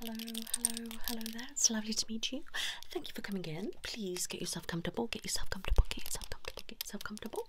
Hello, hello, hello there. It's lovely to meet you. Thank you for coming in. Please get yourself comfortable, get yourself comfortable, get yourself comfortable, get yourself comfortable.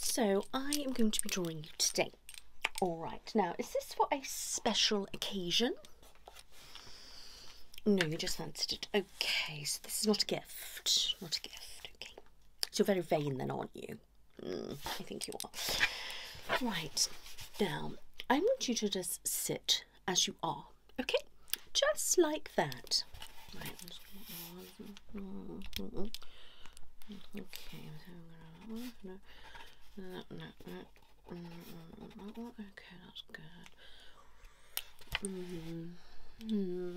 So, I am going to be drawing you today. Alright, now, is this for a special occasion? No, you just fancied it. Okay, so this is not a gift. Not a gift, okay. So, you're very vain then, aren't you? Hmm, I think you are. Right, now, I want you to just sit as you are, okay? Just like that. okay, that's good. Mm-hmm. Mm-hmm.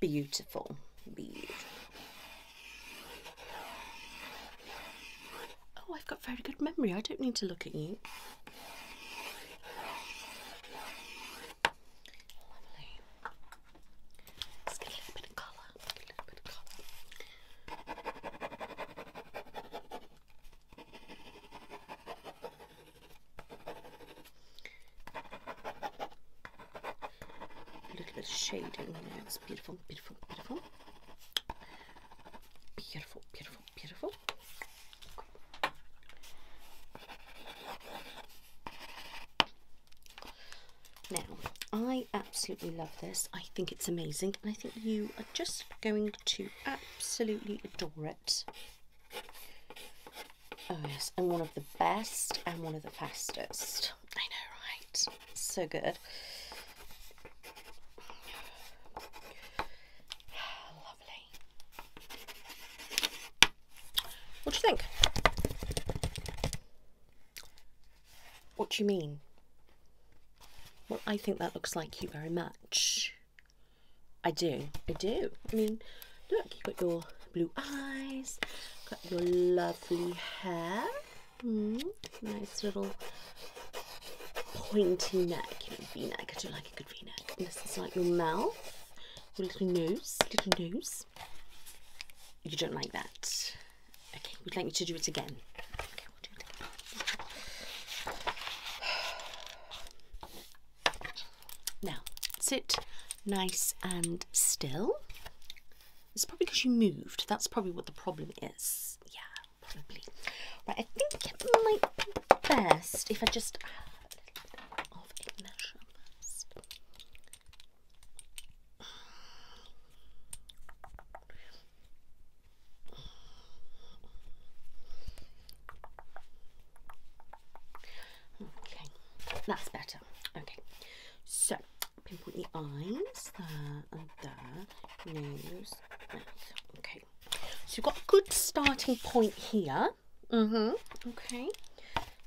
Beautiful bead. Oh, I've got very good memory. I don't need to look at you. Lovely. let A little bit of colour. A little bit of shading there. It's beautiful, beautiful, beautiful. Beautiful, beautiful, beautiful. Now, I absolutely love this. I think it's amazing. And I think you are just going to absolutely adore it. Oh, yes, I'm one of the best I'm one of the fastest. I know, right? So good. Lovely. What do you think? What do you mean? Well, I think that looks like you very much. I do, I do. I mean, look, you've got your blue eyes, got your lovely hair, hmm, nice little pointy neck, you know, v-neck, I do like a good v-neck. this is like your mouth, little nose, little nose. You don't like that. Okay, we'd like you to do it again. Now, sit nice and still. It's probably because you moved. That's probably what the problem is. Yeah, probably. Right, I think it might be best if I just add a little bit of Okay, that's better. Okay, so pinpoint the eyes there and there, nose, Okay, so you've got a good starting point here. Mm hmm. Okay,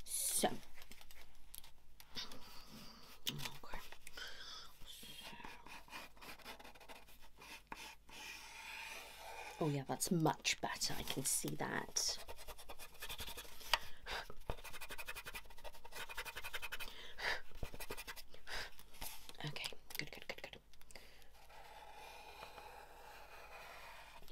so. Oh yeah, that's much better. I can see that. Okay, good, good, good,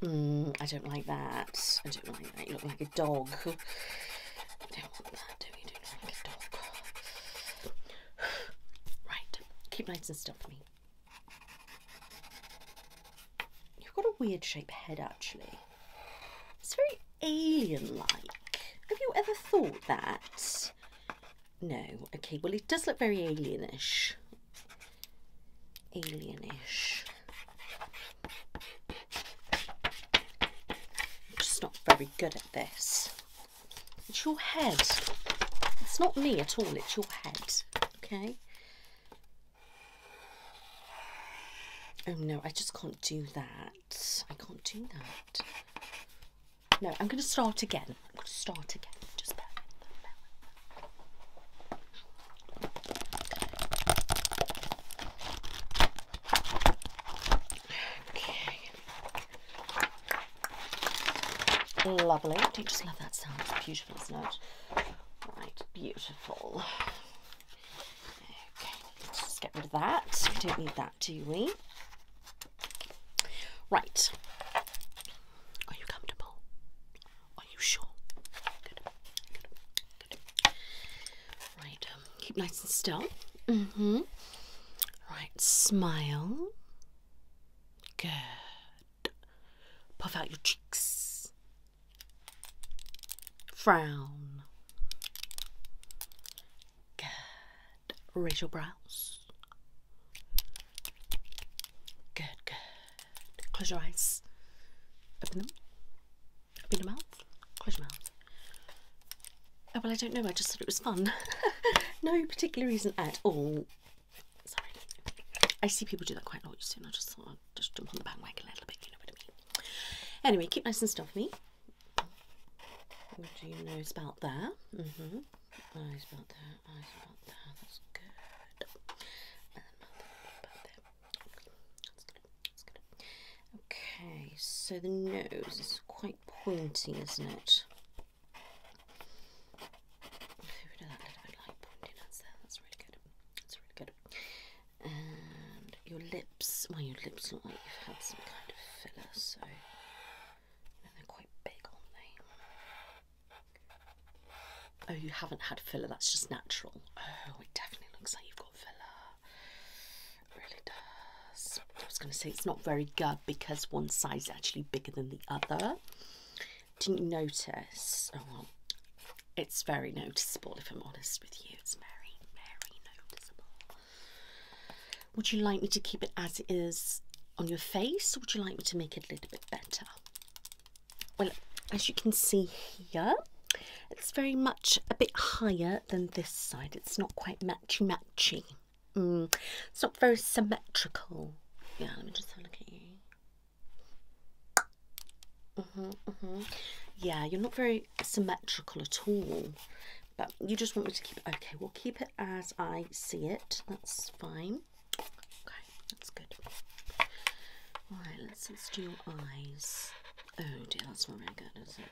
good. Mm, I don't like that. I don't like that. You look like a dog. I don't want that, do you? Do like a dog. Right, keep nice and still for me. You've got a weird shaped head actually. It's very alien like. Have you ever thought that? No. Okay, well, it does look very alienish. Alienish. I'm just not very good at this. It's your head. It's not me at all, it's your head, okay? Oh no, I just can't do that. I can't do that. No, I'm going to start again. I'm going to start again. Just bear with, bear Okay. Lovely. Do you just love that sound? beautiful, isn't it? Right, beautiful. Okay, let's get rid of that. We don't need that, do we? Right. Are you comfortable? Are you sure? Right. Um, keep nice and still. hmm Right. Smile. Good. Puff out your cheeks. Frown. Good. Raise your brows. Good, good. Close your eyes. Open them. Open your mouth. Close your mouth. Oh, well, I don't know. I just thought it was fun. no particular reason at all. Sorry. I see people do that quite a lot, you see, and I just thought I'd just jump on the bandwagon a little bit, you know what I mean. Anyway, keep nice and stuffy. What do you know about there? Mm-hmm. Eyes about there, eyes about there. That's good. And about there. That's good. That's good. Okay, so the nose is quite pointy, isn't it? rid of that little bit like pointy there. That's really good. That's really good. And your lips, well, your lips look like you've had some kind of filler, so they're quite big, aren't Oh, you haven't had filler. That's just natural. Oh, it definitely looks like you've got filler. really does. I was going to say it's not very good because one side is actually bigger than the other. Didn't you notice? Oh, it's very noticeable if I'm honest with you. It's very, very noticeable. Would you like me to keep it as it is on your face or would you like me to make it a little bit better? Well, as you can see here, it's very much a bit higher than this side. It's not quite matchy-matchy. Mm, it's not very symmetrical. Yeah, let me just have a look at you. -hmm, -hmm. Yeah, you're not very symmetrical at all. But you just want me to keep it. Okay, we'll keep it as I see it. That's fine. Okay, that's good. Alright, let's, let's do your eyes. Oh dear, that's not very good, is it?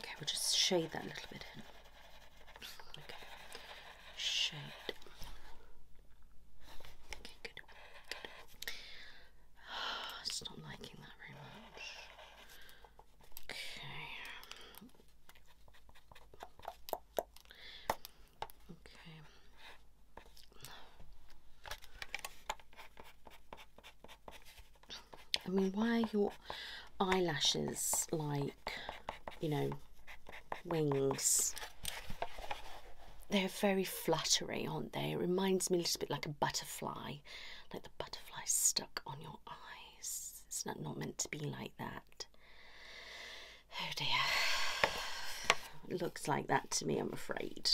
Okay, we'll just shade that a little bit in. Okay, shade. Okay, good. good. it's not liking that very much. Okay. Okay. I mean, why are your eyelashes like, you know, wings? They're very fluttery, aren't they? It reminds me a little bit like a butterfly, like the butterfly stuck on your eyes. It's not, not meant to be like that. Oh dear. It looks like that to me, I'm afraid.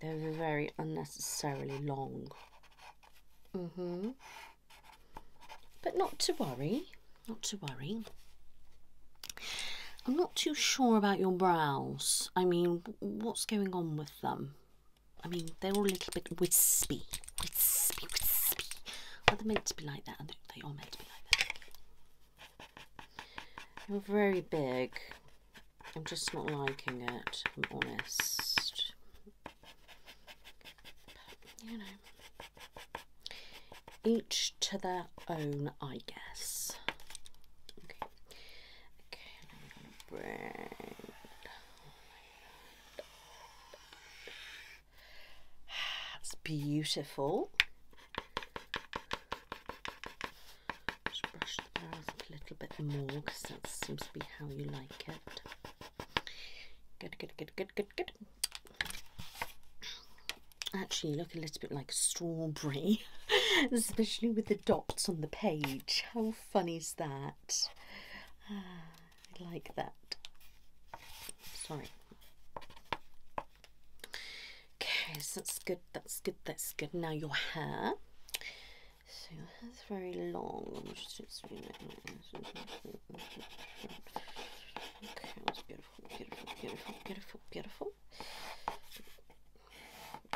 They're very unnecessarily long. Mm hmm But not to worry, not to worry. I'm not too sure about your brows. I mean, what's going on with them? I mean, they're all a little bit wispy. Wispy, wispy. Are they meant to be like that? They are meant to be like that. they are very big. I'm just not liking it, I'm honest. you know, each to their own, I guess. Okay, okay, bring. That's beautiful brush the brows a little bit more because that seems to be how you like it. Good, good, good, good, good, good. Actually, look a little bit like strawberry, especially with the dots on the page. How funny is that? Ah, I like that. Sorry. Okay, so that's good, that's good, that's good. Now your hair. So that's very long. i like Okay, that's beautiful, beautiful, beautiful, beautiful, beautiful.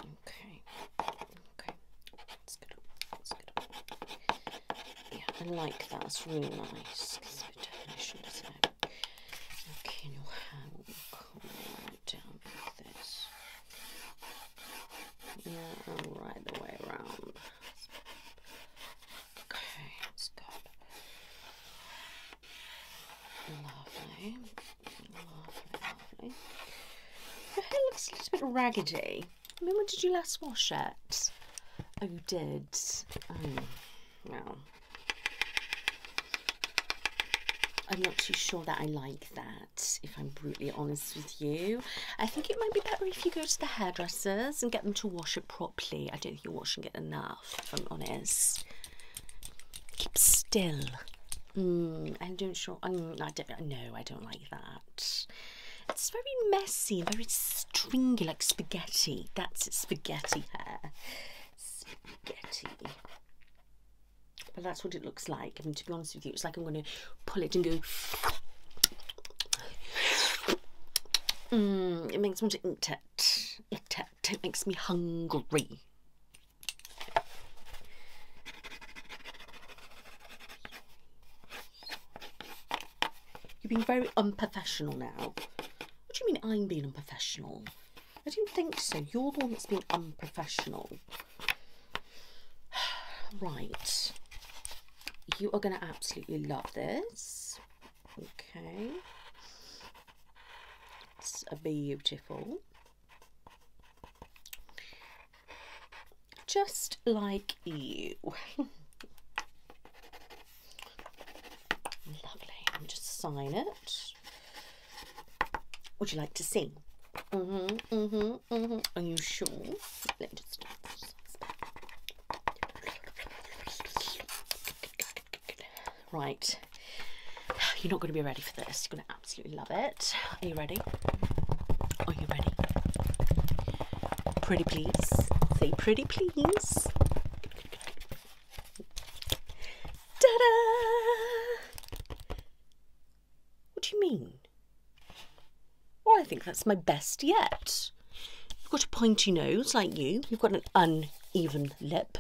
Okay, okay, that's good. That's good. Yeah, I like that. It's really nice. Okay, now how will down like this. Yeah, i and right the way around. Okay, it's good. Lovely, lovely, lovely. Your looks a little bit raggedy. I mean, when did you last wash it? Oh, you did. Oh, no. I'm not too sure that I like that if I'm brutally honest with you. I think it might be better if you go to the hairdressers and get them to wash it properly. I don't think you're washing it enough, I'm honest. Keep still. Mm, I don't sure. I don't. No, I don't like that. It's very messy, very stringy, like spaghetti. That's spaghetti hair. Spaghetti but that's what it looks like I mean to be honest with you it's like I'm going to pull it and go mm, it makes me it, it, it makes me hungry you're being very unprofessional now what do you mean I'm being unprofessional I don't think so you're the one that's being unprofessional Right. You are going to absolutely love this. Okay. It's beautiful. Just like you. Lovely. just sign it. Would you like to sing? hmm hmm hmm Are you sure? Right. You're not going to be ready for this. You're going to absolutely love it. Are you ready? Are you ready? Pretty please. Say pretty please. Ta-da! What do you mean? Well, I think that's my best yet. You've got a pointy nose like you. You've got an uneven lip.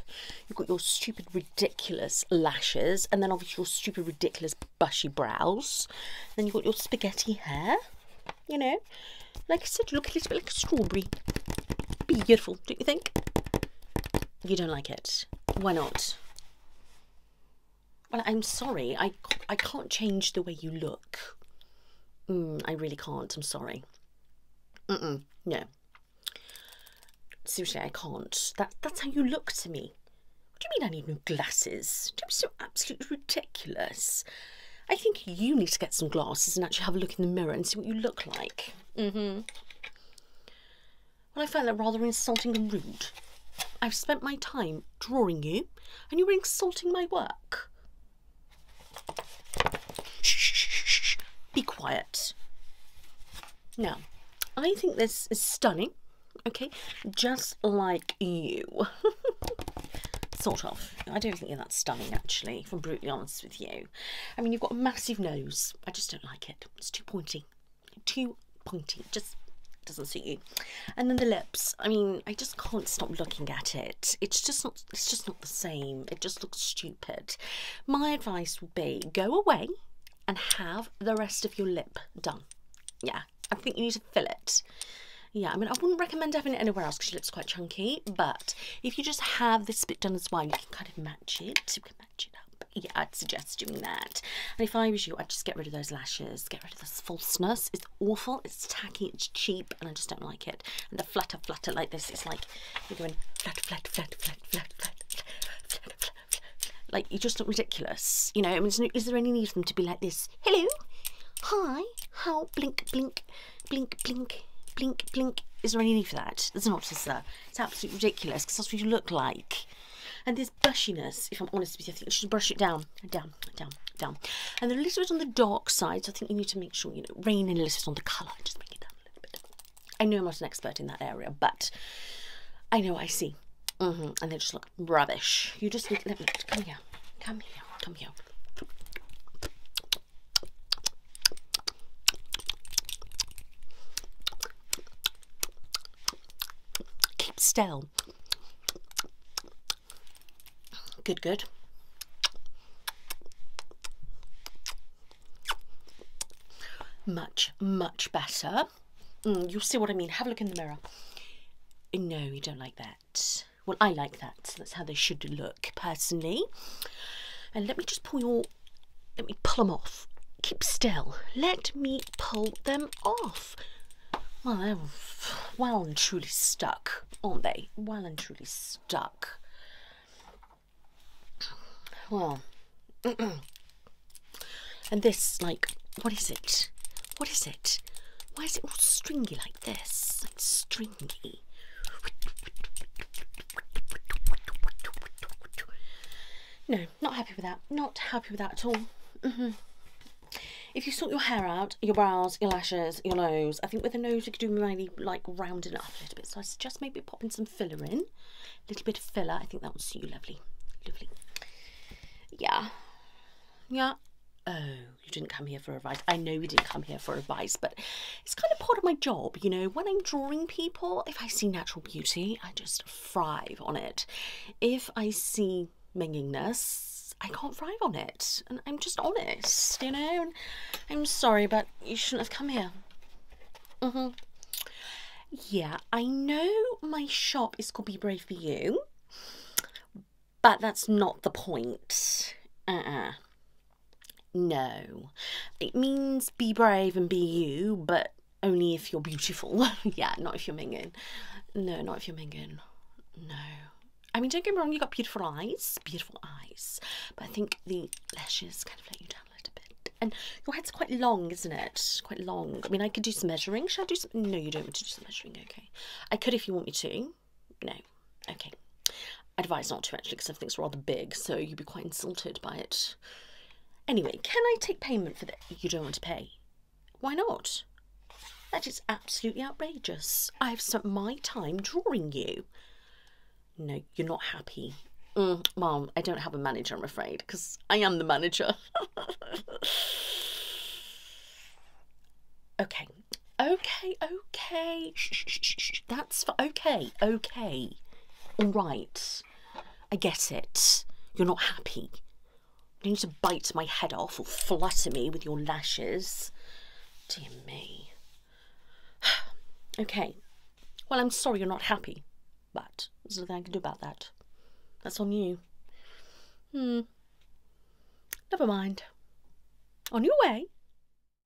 You've got your stupid, ridiculous lashes. And then obviously your stupid, ridiculous, bushy brows. Then you've got your spaghetti hair. You know, like I said, you look a little bit like a strawberry. Beautiful, don't you think? You don't like it. Why not? Well, I'm sorry. I, I can't change the way you look. Mm, I really can't. I'm sorry. No. Seriously, I can't. that's how you look to me. What do you mean I need new glasses? do absolutely ridiculous. I think you need to get some glasses and actually have a look in the mirror and see what you look like. Mm-hmm. Well, I found that rather insulting and rude. I've spent my time drawing you, and you were insulting my work. Shh, shh, shh, Be quiet. Now, I think this is stunning, okay? Just like you. sort of. I don't think you're that stunning, actually, if I'm brutally honest with you. I mean, you've got a massive nose. I just don't like it. It's too pointy too pointy. Just doesn't suit you. And then the lips. I mean, I just can't stop looking at it. It's just not. It's just not the same. It just looks stupid. My advice would be go away and have the rest of your lip done. Yeah, I think you need to fill it. Yeah, I mean, I wouldn't recommend having it anywhere else because your lip's quite chunky. But if you just have this bit done as well, you can kind of match it. Yeah, I'd suggest doing that. And if I was you, I'd just get rid of those lashes, get rid of this falseness. It's awful, it's tacky, it's cheap, and I just don't like it. And the flutter flutter like this, it's like you're going flat, flat, flat, flat, flat, flat, flat, flat, flat, flat. Like you just look ridiculous. You know, I mean, is there any need for them to be like this? Hello, hi, how, blink, blink, blink, blink, blink, blink. Is there any need for that? There's not, is there? It's absolutely ridiculous because that's what you look like. And this brushiness, if I'm honest with you, I think you should brush it down, down, down, down. And they a little bit on the dark side, so I think you need to make sure, you know, rain in a little bit on the colour. Just bring it down a little bit. I know I'm not an expert in that area, but I know I see. Mm-hmm, and they just look rubbish. You just need, come here, come here, come here. Keep still. Good, good. Much, much better. Mm, you'll see what I mean. Have a look in the mirror. No, you don't like that. Well, I like that. that's how they should look, personally. And let me just pull your let me pull them off. Keep still. Let me pull them off. Well, they're well and truly stuck, aren't they? Well and truly stuck. Well, and this, like, what is it? What is it? Why is it all stringy like this? Like stringy. No, not happy with that. Not happy with that at all. Mm-hmm. If you sort your hair out, your brows, your lashes, your nose, I think with the nose you could do really like rounding it up a little bit. So I suggest maybe popping some filler in. A little bit of filler. I think that would suit you lovely. Lovely. Yeah. Yeah. Oh, you didn't come here for advice. I know you didn't come here for advice, but it's kind of part of my job, you know. When I'm drawing people, if I see natural beauty, I just thrive on it. If I see manginess, I can't thrive on it. And I'm just honest, you know. I'm sorry, but you shouldn't have come here. Mm-hmm. Yeah, I know my shop is called Be Brave for You, but that's not the point. Uh-uh. No. It means be brave and be you, but only if you're beautiful. yeah, not if you're minging. No, not if you're minging. No. I mean, don't get me wrong, you've got beautiful eyes, beautiful eyes, but I think the lashes kind of let you down a little bit. And your head's quite long, isn't it? Quite long. I mean, I could do some measuring. Should I do some? No, you don't want to do some measuring, okay. I could if you want me to. No. Okay advise not to actually because everything's rather big, so you'd be quite insulted by it. Anyway, can I take payment for that? You don't want to pay. Why not? That is absolutely outrageous. I have spent my time drawing you. No, you're not happy. Mm, Mom, I don't have a manager, I'm afraid, because I am the manager. okay, okay, okay. Shh, shh, shh, shh. That that's for, okay, okay, all right, I get it. You're not happy. You need to bite my head off or flutter me with your lashes. Dear me. okay, well, I'm sorry you're not happy, but there's nothing I can do about that. That's on you. Hmm. Never mind. On your way.